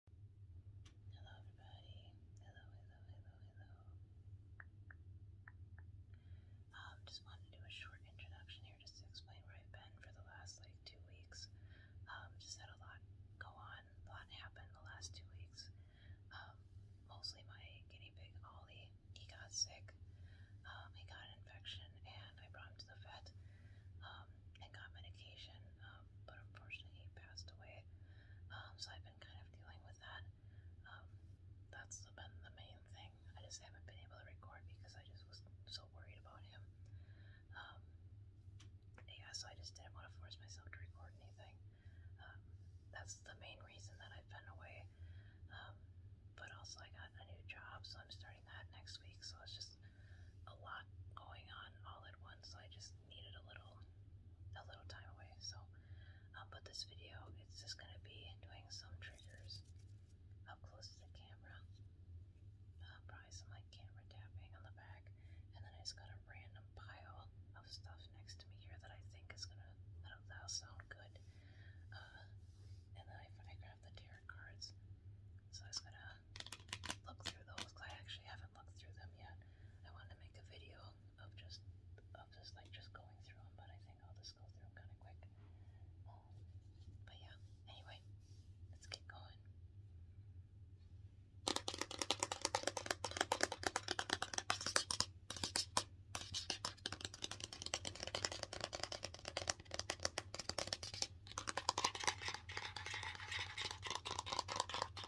Hello, everybody. Hello, hello, hello, hello. Um, just wanted to do a short introduction here just to explain where I've been for the last like two weeks. Um, just had a lot go on, a lot happened the last two weeks. Um, mostly my guinea pig Ollie, he got sick. he got an infection and I brought him to the vet and got medication, um, but unfortunately he passed away. Um, so I've been kind of dealing with that. Um, that's been the main thing. I just haven't been able to record because I just was so worried about him. yeah, so I just didn't want to force myself to record anything. that's the main reason that I've been away. but also I got a new job, so I'm starting that next week. So it's just a lot going on all at once, so I just needed a little a little time away. So, um, but this video, it's just gonna be doing some triggers up close to the camera. Uh, probably some like camera tapping on the back, and then I just got a random pile of stuff next to me here that I think is gonna that'll, sound good. Uh, and then I, I grabbed the tarot cards, so I was gonna look through those because I actually haven't looked through them yet. I wanted to make a video of just of just like just going through them, but I think I'll just go through them kind of quick. but yeah, anyway, let's get going.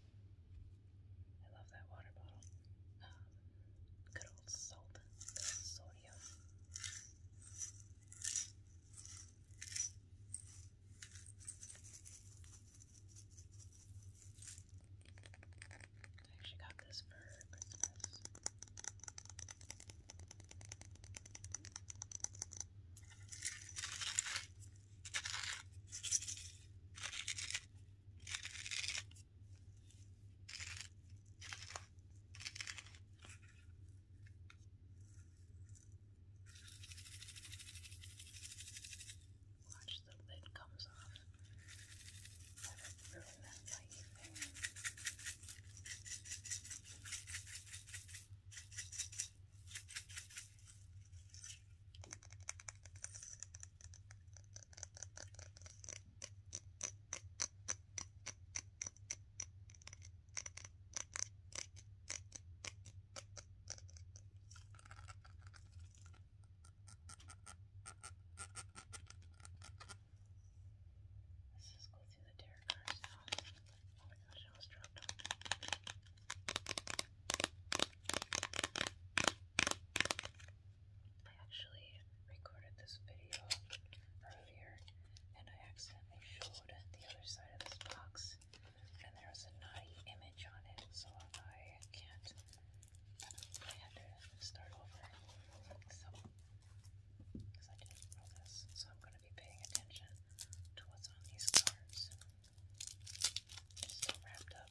I love that water bottle. Um, good old soap, sodium. I actually got this for Christmas. Watch the lid comes off. Let it ruin that light thing. Let's just go through the tarot cards now. Oh my gosh, I almost dropped them. I actually recorded this video earlier and I accidentally showed the other side of this box and there was a naughty image on it so I can't I had to start over so I'm going to be paying attention to what's on these cards. It's still wrapped up.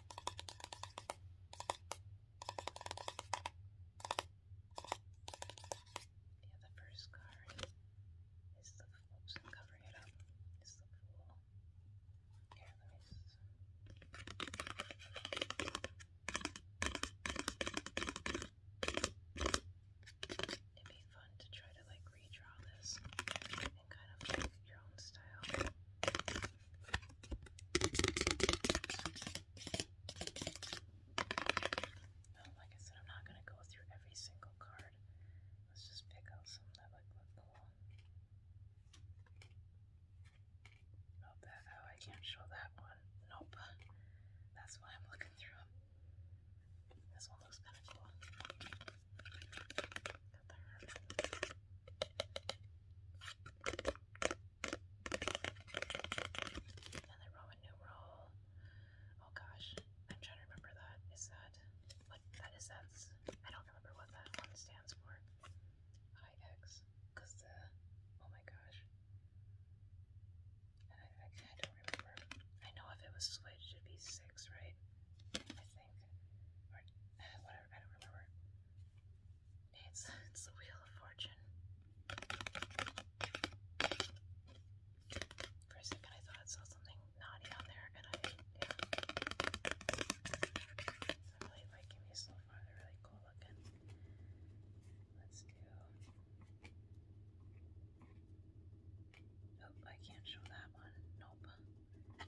Yeah, the first card is the oops, covering it up. It's the fool. Here, let me It'd be fun to try to like redraw this in kind of like your own style like I said, I'm not going to go through every single card. Let's just pick out some that look, cool. Oh, that, oh, I can't show that one. Nope. That's why I'm looking through them. This one looks kind of cool. Another Roman numeral. Oh gosh, I'm trying to remember that. Is that what that is? That's I don't remember what that one stands for. IX, because the oh my gosh, I, I, don't remember. I know if it was switched, it'd be six, right? It's, it's the Wheel of Fortune. For a second I thought I saw something naughty on there and I, yeah. I'm really liking these so far, they're really cool looking. Let's do... Oh, I can't show that one. Nope. Oh,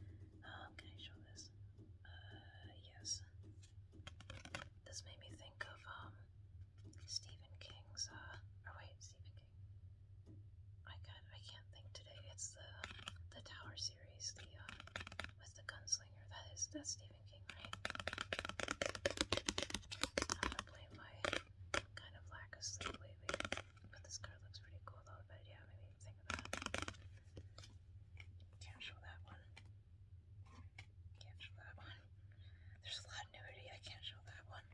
can I show this? Uh, yes. This made me think of, um, Stephen King's, uh, wait, Stephen King. I got, I can't think today. It's the, the Tower series, the, uh, with the gunslinger. That is, that's Stephen King, right? I'm gonna blame my kind of lack of sleep lately. But this card looks pretty cool though, but yeah, maybe think of that. Cancel that one. Cancel that one. There's a continuity. I cancel that one.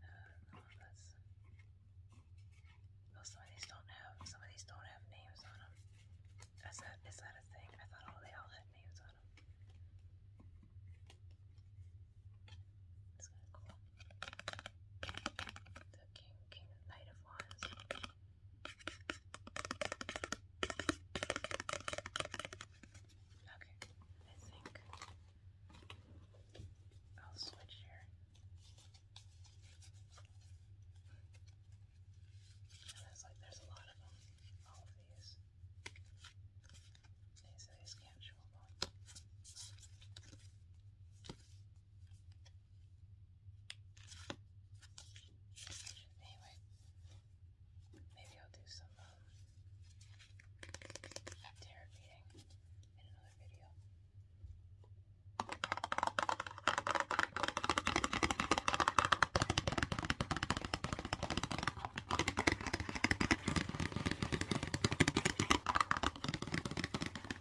Uh, no, that's. Oh, some of these don't have. Some of these don't have names on them. Is that is that a thing? I thought all they all had names on them. That's kind cool king, king, knight of wands. Okay, I think I'll switch here. it's like there's a lot of them, all of these. These, these can't show them Anyway, maybe I'll do some um, tarot reading in another video.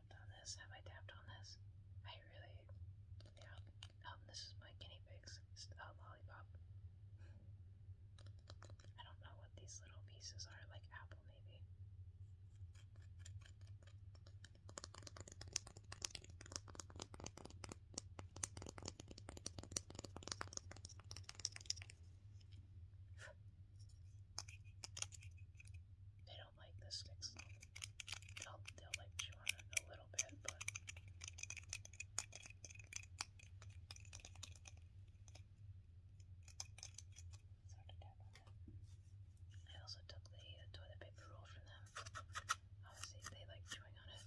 tapped on this? Have I tapped on this? I really. Yeah. Um, this is my guinea pigs. lollipop. I don't know what these little pieces are, like apple maybe don't like the sticks. They'll, they'll like chew on it a little bit, but. I also took the toilet paper roll from them. Obviously, they like chewing on it.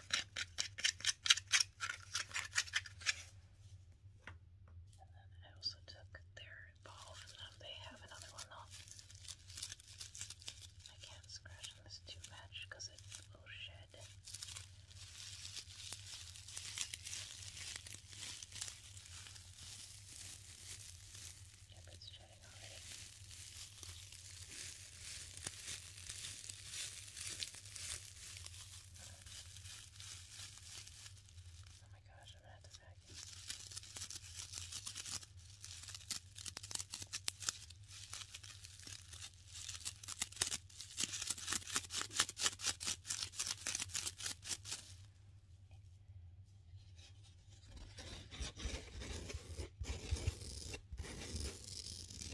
And then I also took their ball They have another one though. I can't scratch this too much because it will oh, shed. Yep, it's shedding already. Oh my gosh, I'm gonna have to vacuum.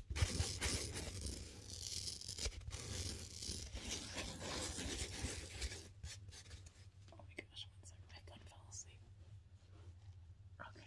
Oh my gosh, one second, my gun fell asleep. Okay.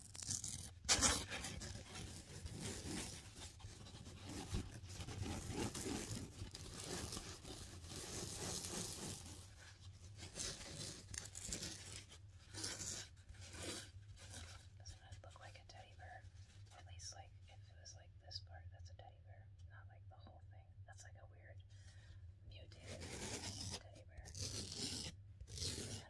Doesn't it look like a teddy bear? at least like if it was like this part, that's a teddy bear, not like the whole thing. That's like a weird mutated teddy bear.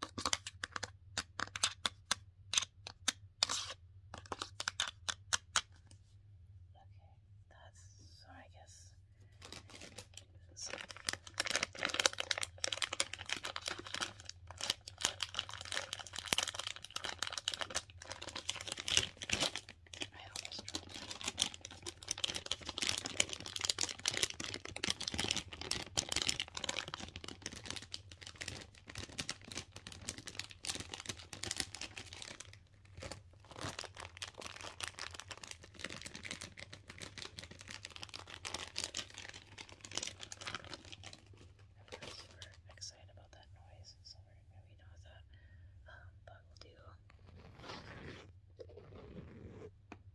that's so I guess so. I almost tried we're excited about that noise, so we're maybe not that, um, but we'll do.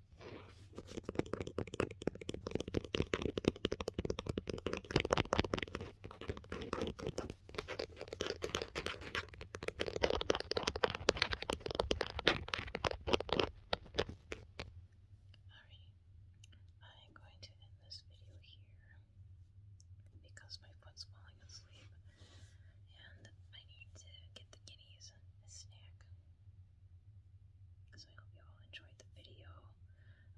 I'm going to end this video here because my foot's falling asleep and I need to get the guineas a snack. So I hope you all enjoyed the video.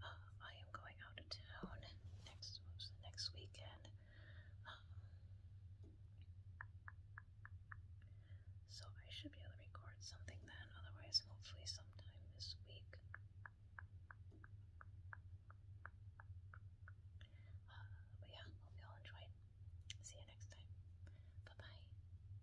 Um, I am going out of town next next weekend. Um, so I should be able to record something then, otherwise hopefully sometime this week. Uh, but yeah, hope you all enjoyed. See you next time. Bye bye.